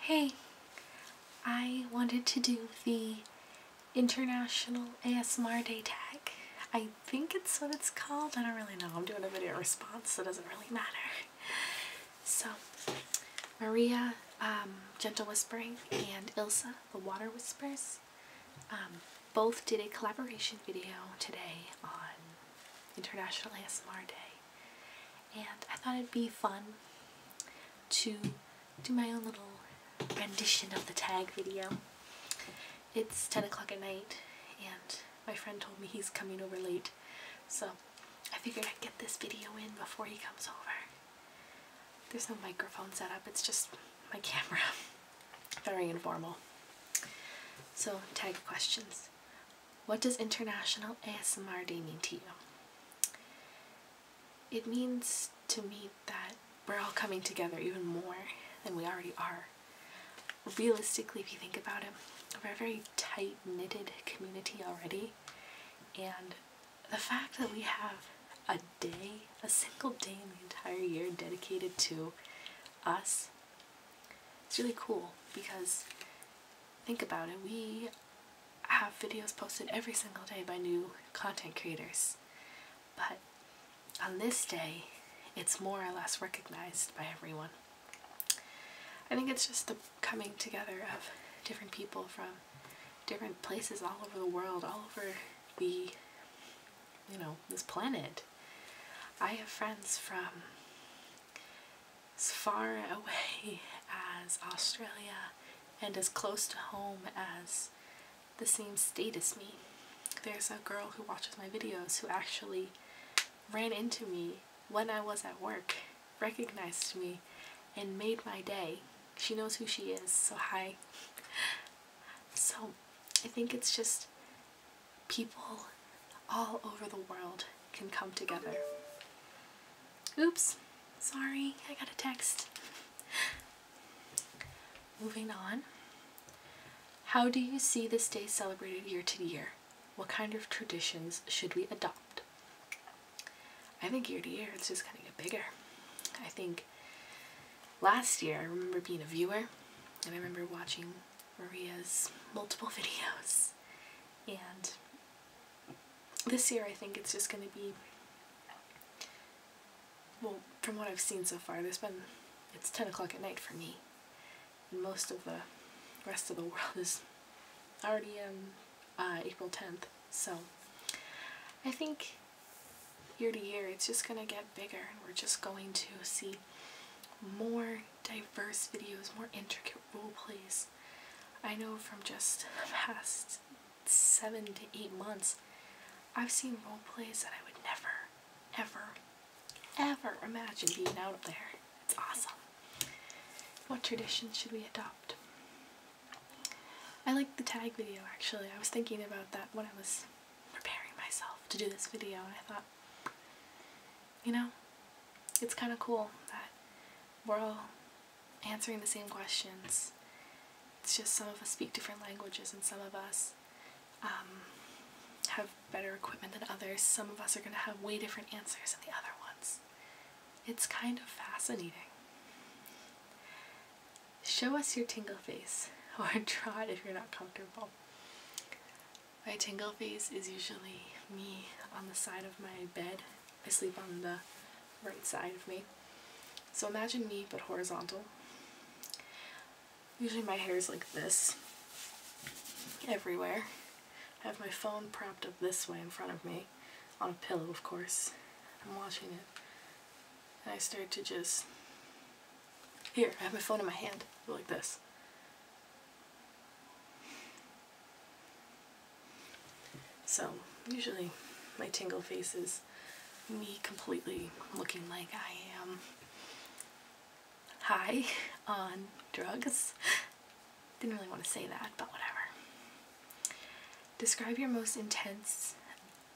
Hey, I wanted to do the International ASMR Day tag. I think it's what it's called. I don't really know. I'm doing a video response, so it doesn't really matter. So, Maria, um, Gentle Whispering, and Ilsa, the Water Whispers, um, both did a collaboration video today on International ASMR Day and I thought it'd be fun to do my own little rendition of the tag video. It's 10 o'clock at night and my friend told me he's coming over late so I figured I'd get this video in before he comes over. There's no microphone set up, it's just my camera. Very informal. So, tag questions. What does international ASMRD mean to you? It means to me that we're all coming together even more than we already are. Realistically, if you think about it, we're a very tight knitted community already, and the fact that we have a day, a single day in the entire year dedicated to us it's really cool because think about it, we have videos posted every single day by new content creators. But on this day, it's more or less recognized by everyone. I think it's just the coming together of different people from different places all over the world, all over the, you know, this planet. I have friends from as far away as Australia and as close to home as the same state as me. There's a girl who watches my videos who actually ran into me when I was at work, recognized me, and made my day. She knows who she is, so hi. So I think it's just people all over the world can come together. Oops, sorry, I got a text. Moving on. How do you see this day celebrated year to year? What kind of traditions should we adopt? I think year to year it's just going to get bigger. I think last year I remember being a viewer and I remember watching Maria's multiple videos. And this year I think it's just going to be, well, from what I've seen so far, there's been, it's 10 o'clock at night for me. And most of the rest of the world is already on uh, April 10th. So I think year to year it's just going to get bigger and we're just going to see more diverse videos, more intricate role plays. I know from just the past seven to eight months, I've seen role plays that I would never, ever, ever imagine being out there. It's awesome. What tradition should we adopt? I like the tag video actually. I was thinking about that when I was preparing myself to do this video and I thought you know, it's kind of cool that we're all answering the same questions. It's just some of us speak different languages and some of us um, have better equipment than others. Some of us are going to have way different answers than the other ones. It's kind of fascinating. Show us your tingle face, or draw it if you're not comfortable. My tingle phase is usually me on the side of my bed. I sleep on the right side of me. So imagine me, but horizontal. Usually my hair is like this, everywhere. I have my phone propped up this way in front of me, on a pillow of course. I'm watching it. And I start to just here, I have my phone in my hand. like this. So, usually my tingle face is me completely looking like I am high on drugs. Didn't really want to say that, but whatever. Describe your most intense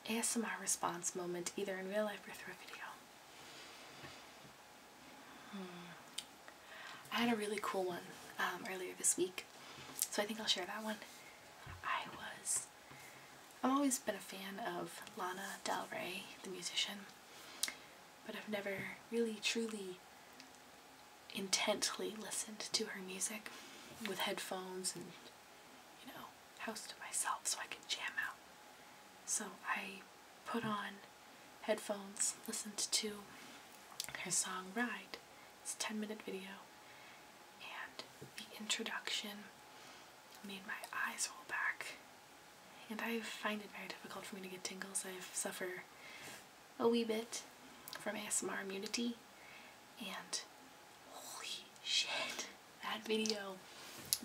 ASMR response moment either in real life or through a video. I had a really cool one um, earlier this week, so I think I'll share that one. I was, I've always been a fan of Lana Del Rey, the musician, but I've never really truly intently listened to her music with headphones and you know know, house to myself so I can jam out. So I put on headphones, listened to her song Ride. It's a 10 minute video, and the introduction made my eyes roll back. And I find it very difficult for me to get tingles. I suffer a wee bit from ASMR immunity, and holy shit that video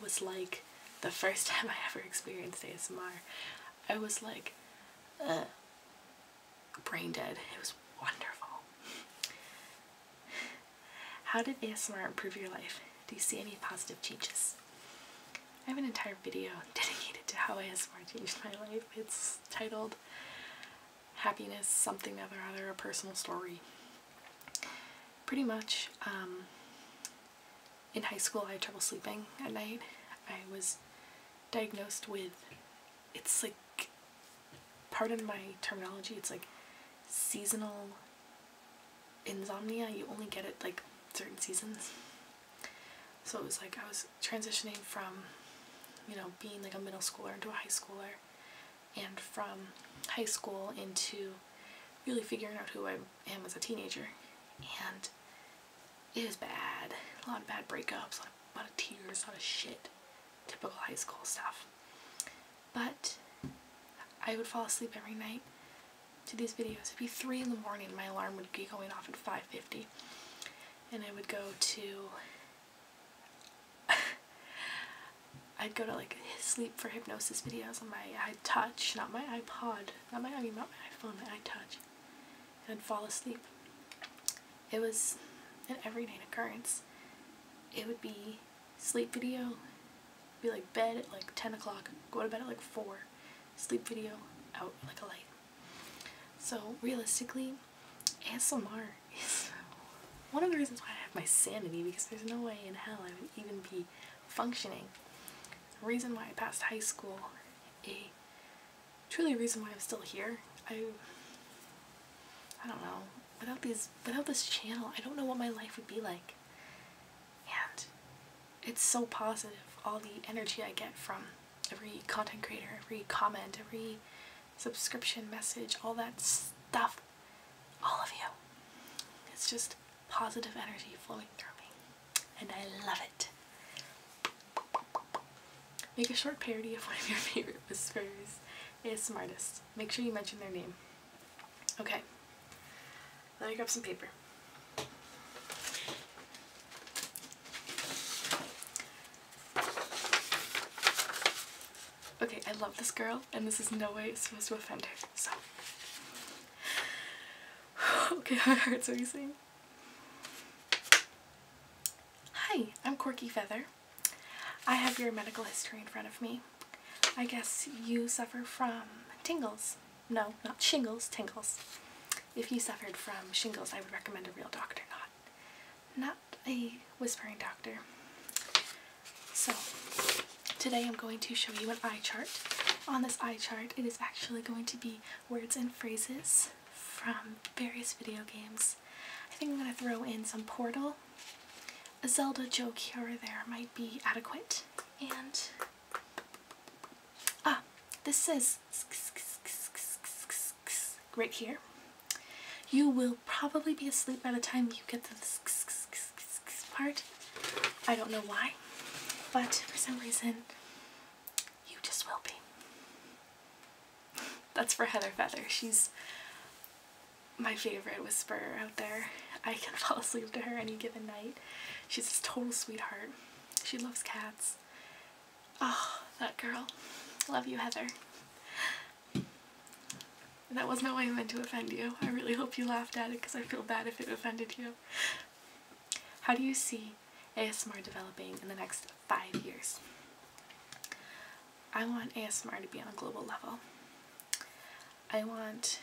was like the first time I ever experienced ASMR. I was like uh, brain dead. It was wonderful. How did ASMR improve your life? Do you see any positive changes? I have an entire video dedicated to how ASMR changed my life. It's titled Happiness, Something Other Other, A Personal Story pretty much um, in high school I had trouble sleeping at night. I was diagnosed with, it's like, pardon my terminology, it's like seasonal insomnia. You only get it like certain seasons. So it was like I was transitioning from, you know, being like a middle schooler into a high schooler and from high school into really figuring out who I am as a teenager. And it was bad. A lot of bad breakups, a lot of, tears, a lot of shit. Typical high school stuff. But I would fall asleep every night to these videos. It'd be 3 in the morning. My alarm would be going off at 5.50. And I would go to I'd go to like sleep for hypnosis videos on my iTouch, not my iPod, not my I mean not my iPhone, my iTouch, and fall asleep. It was an everyday occurrence. It would be sleep video, be like bed at like 10 o'clock, go to bed at like 4, sleep video, out like a light. So realistically, ASMR one of the reasons why I have my sanity because there's no way in hell I would even be functioning. The reason why I passed high school, a truly reason why I'm still here. I I don't know. Without these without this channel, I don't know what my life would be like. And it's so positive all the energy I get from every content creator, every comment, every subscription message, all that stuff. All of you. It's just positive energy flowing through me. And I love it. Make a short parody of one of your favorite whisperers It's smartest. Make sure you mention their name. Okay. Let me grab some paper. Okay, I love this girl, and this is no way supposed to offend her, so. okay, my heart's racing. Hi, I'm Corky Feather. I have your medical history in front of me. I guess you suffer from tingles. No, not shingles, tingles. If you suffered from shingles, I would recommend a real doctor, not not a whispering doctor. So today I'm going to show you an eye chart. On this eye chart it is actually going to be words and phrases from various video games. I think I'm going to throw in some Portal. A Zelda joke here or there might be adequate. And ah, this is right here. You will probably be asleep by the time you get to this part. I don't know why, but for some reason, you just will be. That's for Heather Feather. She's my favorite whisperer out there. I can fall asleep to her any given night. She's a total sweetheart. She loves cats. Oh, that girl. Love you, Heather. That was not why I meant to offend you. I really hope you laughed at it because I feel bad if it offended you. How do you see ASMR developing in the next five years? I want ASMR to be on a global level. I want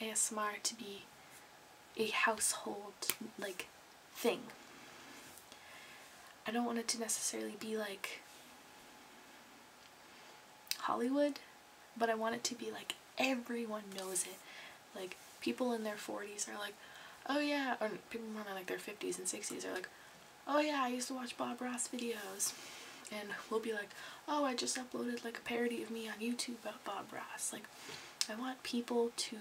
ASMR to be a household like thing. I don't want it to necessarily be like Hollywood, but I want it to be like everyone knows it. Like people in their 40s are like, oh yeah, or people more in like their 50s and 60s are like, oh yeah, I used to watch Bob Ross videos. And we'll be like, oh, I just uploaded like a parody of me on YouTube about Bob Ross. Like, I want people to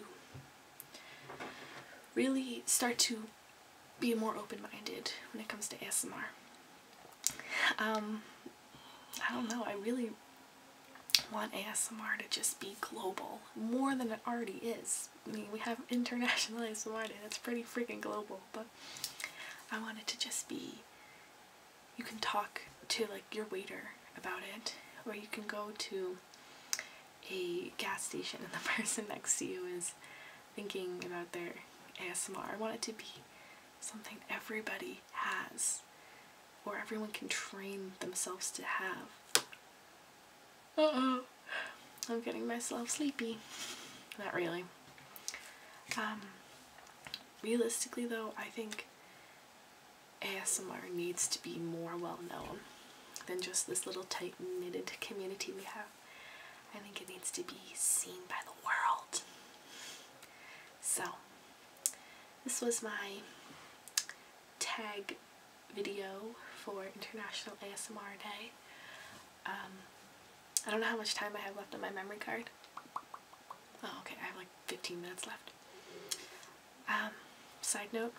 really start to be more open-minded when it comes to ASMR. Um, I don't know, I really want ASMR to just be global, more than it already is. I mean, we have international ASMR and it's pretty freaking global, but I want it to just be, you can talk to like your waiter about it, or you can go to a gas station and the person next to you is thinking about their ASMR. I want it to be something everybody has or everyone can train themselves to have. Uh-oh. I'm getting myself sleepy. Not really. Um, realistically though, I think ASMR needs to be more well known than just this little tight knitted community we have. I think it needs to be seen by the world. So, this was my tag video for International ASMR Day. Um, I don't know how much time I have left on my memory card. Oh, okay, I have like 15 minutes left. Um, side note,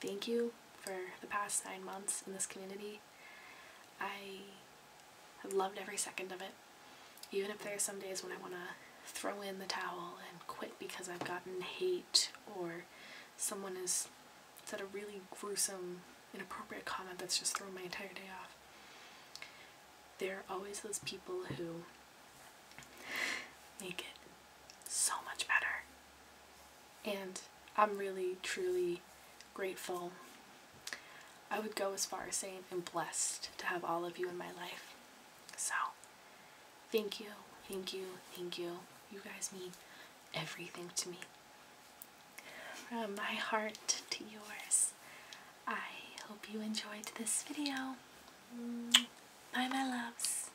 thank you for the past nine months in this community. I have loved every second of it, even if there are some days when I want to throw in the towel and quit because I've gotten hate or someone has said a really gruesome, inappropriate comment that's just thrown my entire day off. There are always those people who make it so much better. And I'm really, truly grateful. I would go as far as saying I'm blessed to have all of you in my life. So, thank you, thank you, thank you. You guys mean everything to me. From my heart to yours, I hope you enjoyed this video. Bye, my loves.